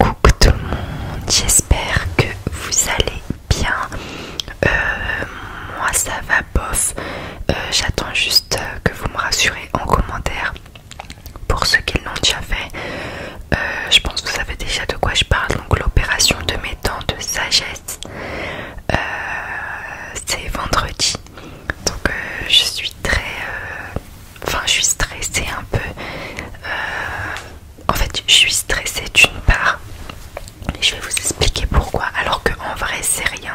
Coucou tout le monde, j'espère que vous allez bien. Euh, moi ça va bof. Euh, j'attends juste euh, que vous me rassurez en commentaire pour ceux qui l'ont déjà fait. je pense que vous savez déjà de quoi je parle. Donc l'opération de mes dents de sagesse, c'est vendredi. Donc je suis très enfin je suis stressée un peu euh, en fait je suis stressée d'une part et je vais vous expliquer pourquoi alors que en vrai c'est rien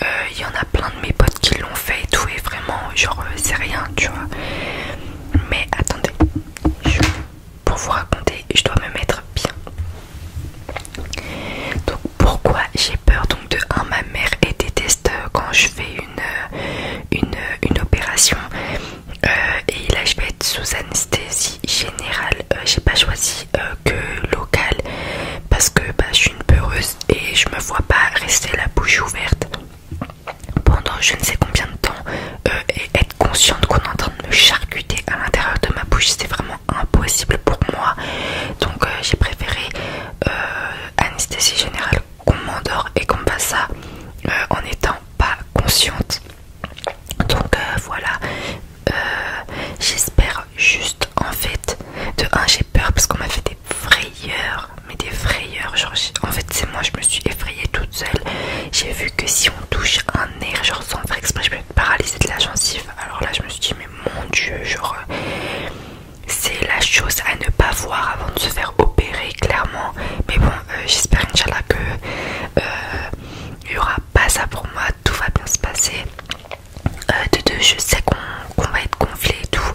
il euh, y en a plein de mes potes qui l'ont fait et tout et vraiment genre euh, c'est rien tu vois mais attendez pour vous raconter je dois me mettre bien donc pourquoi j'ai peur donc de 1 ma mère et déteste quand je fais une une, opération euh, et là je vais être sous anesthésie générale. Euh, j'ai pas choisi euh, que locale parce que bah, je suis une peureuse et je me vois pas rester la bouche ouverte pendant je ne sais combien de temps et être consciente qu'on est en train de me charcuter à l'intérieur de ma bouche. C'est vraiment impossible pour moi donc j'ai préféré anesthésie générale qu'on m'endort et qu'on me ça euh, en étant pas consciente. Donc euh, voilà, euh, j'espère juste en fait, de un j'ai peur parce qu'on m'a fait des frayeurs, mais des frayeurs, genre en fait c'est moi, je me suis effrayée toute seule, j'ai vu que si on touche un nez, genre sans faire exprès, je peux être paralysée de la gencive, alors là je me suis dit mais mon dieu, genre c'est la chose à ne pas voir avant de se faire opérer clairement mais bon euh, j'espère Inch'Allah que il euh, n'y aura pas ça pour moi tout va bien se passer euh, de deux je sais qu'on va être gonflé et tout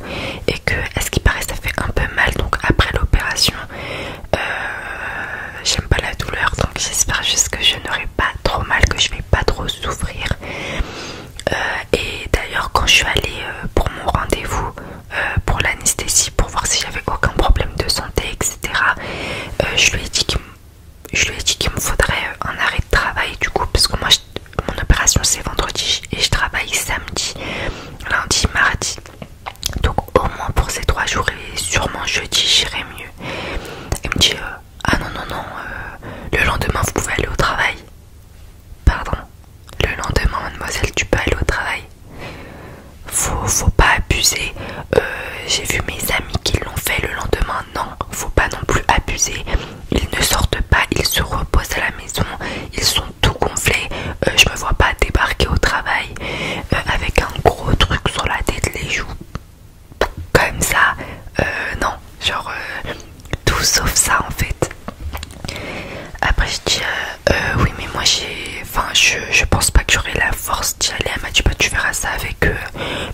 et que est-ce qui paraît ça fait un peu mal donc après l'opération j'aime pas la douleur donc j'espère juste que je n'aurai pas trop mal que je vais pas trop souffrir euh, et d'ailleurs, quand je suis allée euh, pour mon rendez-vous euh, pour l'anesthésie, pour voir si j'avais aucun problème de santé, etc., je lui ai dit qu'il me faudrait un arrêt de travail du coup, parce que moi, mon opération c'est vendredi et je travaille samedi, lundi, mardi. Donc au moins pour ces trois jours et sûrement jeudi j'irai mieux. Il me dit ah non non non le lendemain vous pouvez aller au travail. Pardon. Le lendemain, mademoiselle tu peux aller au travail. Faut, faut pas abuser. Euh, j'ai vu mes amis qui l'ont fait le lendemain. Non, faut pas non plus abuser. Ils ne sortent pas, ils se reposent à la maison. Ils sont tout gonflés. Euh, je me vois pas débarquer au travail euh, avec un gros truc sur la tête, les joues comme ça, euh, non, genre euh, tout sauf ça en fait. Après je dis euh, oui mais moi j'ai, enfin je, pense pas que j'aurai la force d'y aller. à m'a tu bah, tu verras ça avec eux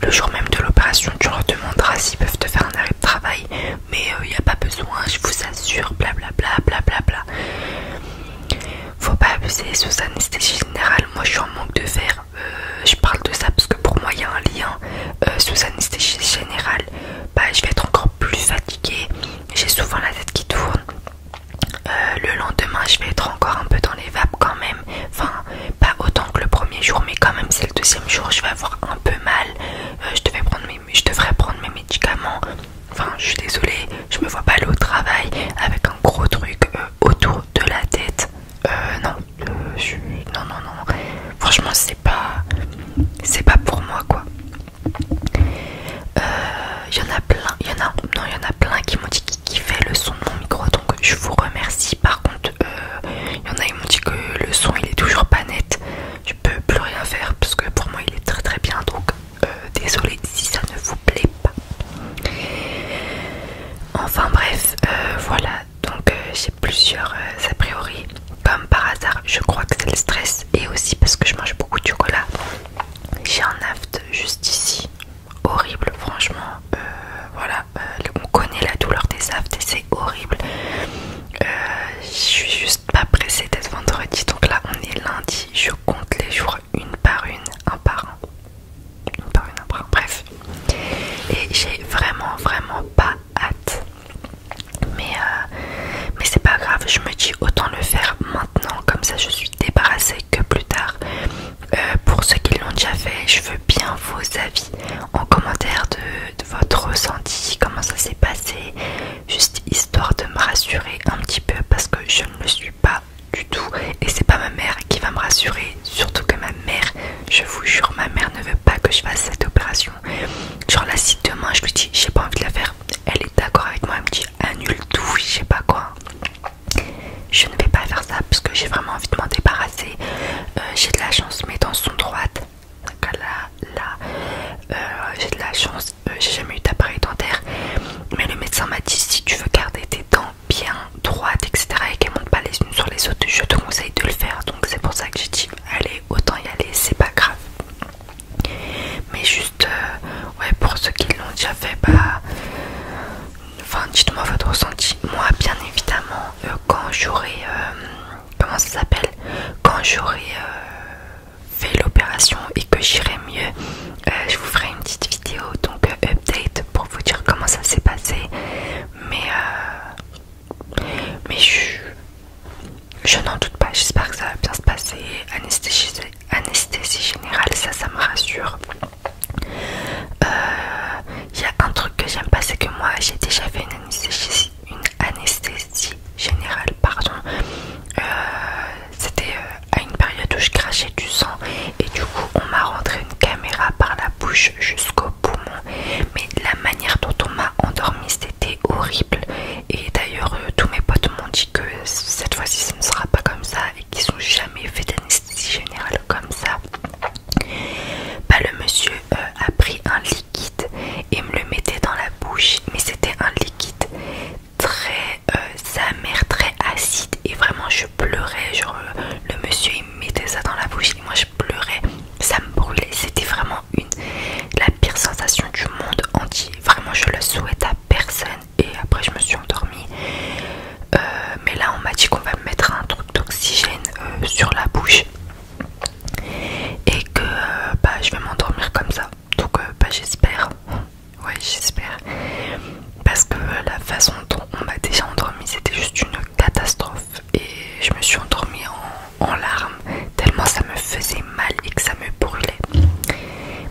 le jour même de l'opération, tu leur demanderas s'ils peuvent te faire un arrêt de travail, mais il n'y a pas besoin, je vous assure, blablabla, bla Bla, bla. Faut pas abuser sous anesthésie générale, moi je en manque de verre euh, je parle de ça parce que pour moi il y a un lien euh, sous anesthésie générale bah, je vais être encore plus fatiguée j'ai souvent la tête qui tourne euh, le lendemain je vais être encore un peu dans les vapes quand même enfin pas autant que le premier jour mais quand même c'est le deuxième jour je vais avoir un peu mal je, devrais prendre mes médicaments enfin je suis désolée je me vois pas aller au travail avec un gros truc autour de la tête euh, non, je suis, non, non, non. Franchement, c'est pas, c'est pas pour moi, quoi. Il euh, y en a plein, il en a, non, il y en a plein qui m'ont dit qui fait le son de mon micro, donc je vous remercie. Par contre, il euh, y en a qui m'ont dit que le son, il est toujours pas net. Je peux plus rien faire parce que pour moi, il est très, très bien. Donc, euh, désolé si ça ne vous plaît pas. Enfin bref, euh, voilà, donc euh, j'ai plusieurs euh, a priori. Comme par hasard, je crois que c'est le stress et aussi parce que je mange beaucoup de chocolat. J'ai un aft juste ici, horrible, franchement. voilà, on connaît la douleur des aftes et c'est horrible. je suis juste pas pressée d'être vendredi, donc là on est lundi. Je compte les jours une par une, un par un bref. Et j'ai vraiment, vraiment pas hâte. Euh, mais, c'est pas grave, je me dis autant le faire maintenant, comme ça je suis débarrassée que plus tard. Euh, pour ceux qui l'ont déjà fait, je veux bien vos avis en commentaire de votre ressenti, comment ça s'est passé, juste histoire de me rassurer un petit peu parce que je ne le suis pas du tout et c'est pas ma mère qui va me rassurer surtout que ma mère je vous jure ma mère ne veut pas que je fasse cette opération genre là si demain je lui dis j'ai pas envie de la faire elle est d'accord avec moi elle me dit annule tout je sais pas quoi je ne vais pas faire ça parce que j'ai vraiment envie de m'en débarrasser euh, j'ai de la chance mes dents sont droites là là euh, j'ai de la chance euh, j'ai jamais eu d'appareil dentaire mais le médecin m'a dit si tu veux garder tes dents bien droite, etc. et qu'elles montent pas les unes sur les autres, je te conseille de le faire. Donc c'est pour ça que j'ai dit allez, autant y aller, c'est pas grave. Mais juste, euh, ouais, pour ceux qui l'ont déjà fait, bah, enfin, dites-moi votre ressenti. Moi, bien évidemment, euh, quand j'aurai, euh, comment ça s'appelle, quand j'aurai fait l'opération et que j'irai mieux, euh, je vous ferai une petite vidéo donc euh, update pour vous dire comment ça s'est passé mais euh, mais je n'en doute pas j'espère que ça va bien se passer anesthésie générale ça ça me rassure il y a un truc que j'aime pas c'est que moi j'ai déjà fait une anesthésie une anesthésie générale pardon euh, c'était euh, à une période où je crachais du sang et du coup on m'a rentré une caméra par la bouche jusqu'au poumon. Mais la manière dont on m'a endormi c'était horrible. Et d'ailleurs euh, tous mes potes m'ont dit que cette fois-ci ce ne sera pas comme ça et qu'ils n'ont jamais fait d'anesthésie générale comme ça. pas bah, le monsieur euh, a pris un liquide et me le mettait dans la bouche, mais c'était un liquide très euh, sa mère très acide et vraiment je pleurais genre euh, le, monsieur il mettait ça dans la bouche et moi je pleurais ça me brûlait c'était vraiment une la pire sensation du monde entier vraiment je le souhaite à personne et après je me suis endormie euh, mais là on m'a dit qu'on va me mettre un truc d'oxygène sur la bouche et que bah, je vais m'endormir comme ça donc euh, bah, j'espère ouais j'espère parce que la façon dont on m'a déjà endormie c'était juste une catastrophe et je me suis endormie en, larmes tellement ça me faisait mal et que ça me brûlait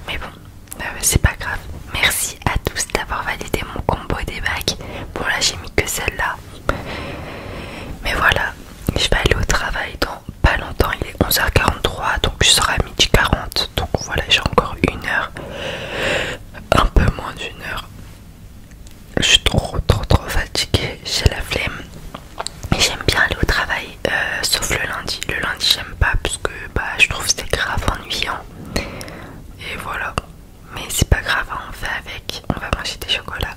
mais bon euh, c'est pas grave merci à tous d'avoir validé mon combo des bagues bon là j'ai mis que celle là mais voilà je vais aller au travail donc pas longtemps, il est 11h43, donc je serai à midi 40. Donc voilà, j'ai encore une heure, un peu moins d'une heure. Je suis trop, trop, trop fatiguée, j'ai la flemme. Et j'aime bien aller au travail, euh, sauf le lundi. Le lundi, j'aime pas parce que bah, je trouve c'est grave ennuyant. Et voilà, mais c'est pas grave, hein, on fait avec. On va manger des chocolats.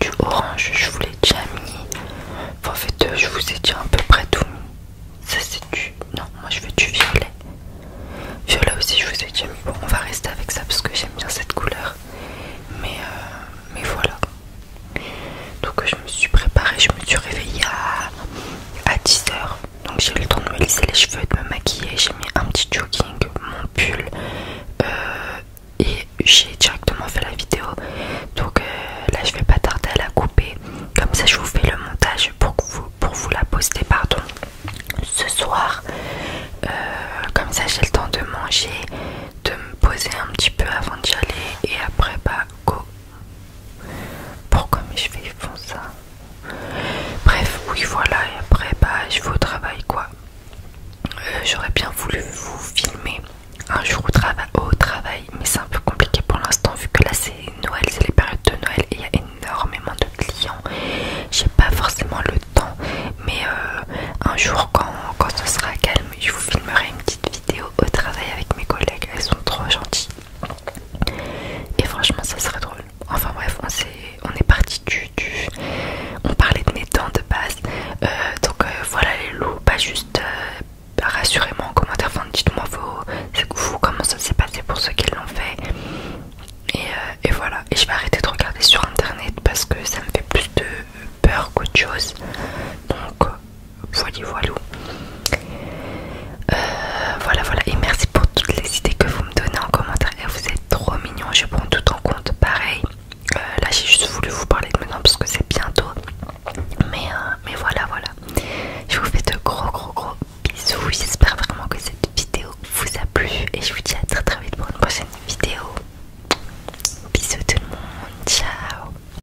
Du orange, je vous l'ai déjà mis. en fait, euh, je vous ai dit à peu près tout Ça, c'est du. Non, moi je veux du violet. Violet aussi, je vous ai dit Bon, on va rester avec ça parce que j'aime bien cette couleur. Mais, euh, mais voilà. Donc, je me suis préparée, je me suis réveillée à, à 10h donc j'ai eu le temps de me lisser les cheveux de me maquiller j'ai mis un petit jogging mon pull euh, et j'ai directement fait la vidéo donc euh, là je vais pas tarder à la couper comme ça je vous fais le montage pour, vous, pour vous la poster pardon ce soir euh, comme ça j'ai le temps de manger de me poser un petit peu avant d'y aller et après bah go pourquoi mes cheveux font ça Bref, oui, voilà. Et après, bah, je vais au travail, quoi. Euh, j'aurais bien voulu vous filmer un jour au, travail, mais c'est un peu compliqué pour l'instant vu que là c'est Noël, c'est les périodes de Noël et il y a énormément de clients. J'ai pas forcément le temps, mais euh, un jour quand, quand ce sera calme, je vous filmerai une petite vidéo au travail avec mes collègues. Elles sont trop gentilles. Et franchement, ça serait drôle. Enfin bref, on, est, parti du, On parlait de mes dents de base. Euh, donc euh, voilà les loups, pas juste... Euh, Rassurez-moi en commentaire, dites-moi vous comment ça s'est passé pour ceux qui l'ont fait. Et, et voilà, et je vais arrêter de regarder sur internet parce que ça me fait plus de peur qu'autre chose. Donc voilou euh, voilà voilà et merci pour toutes les idées que vous me donnez en commentaire vous êtes trop mignon. je prends tout en compte pareil euh, là j'ai juste voulu vous parler de maintenant parce que c'est bientôt mais, euh, mais voilà voilà je vous fais de gros gros gros bisous j'espère vraiment que cette vidéo vous a plu et je vous dis à très très vite pour une prochaine vidéo bisous tout le monde ciao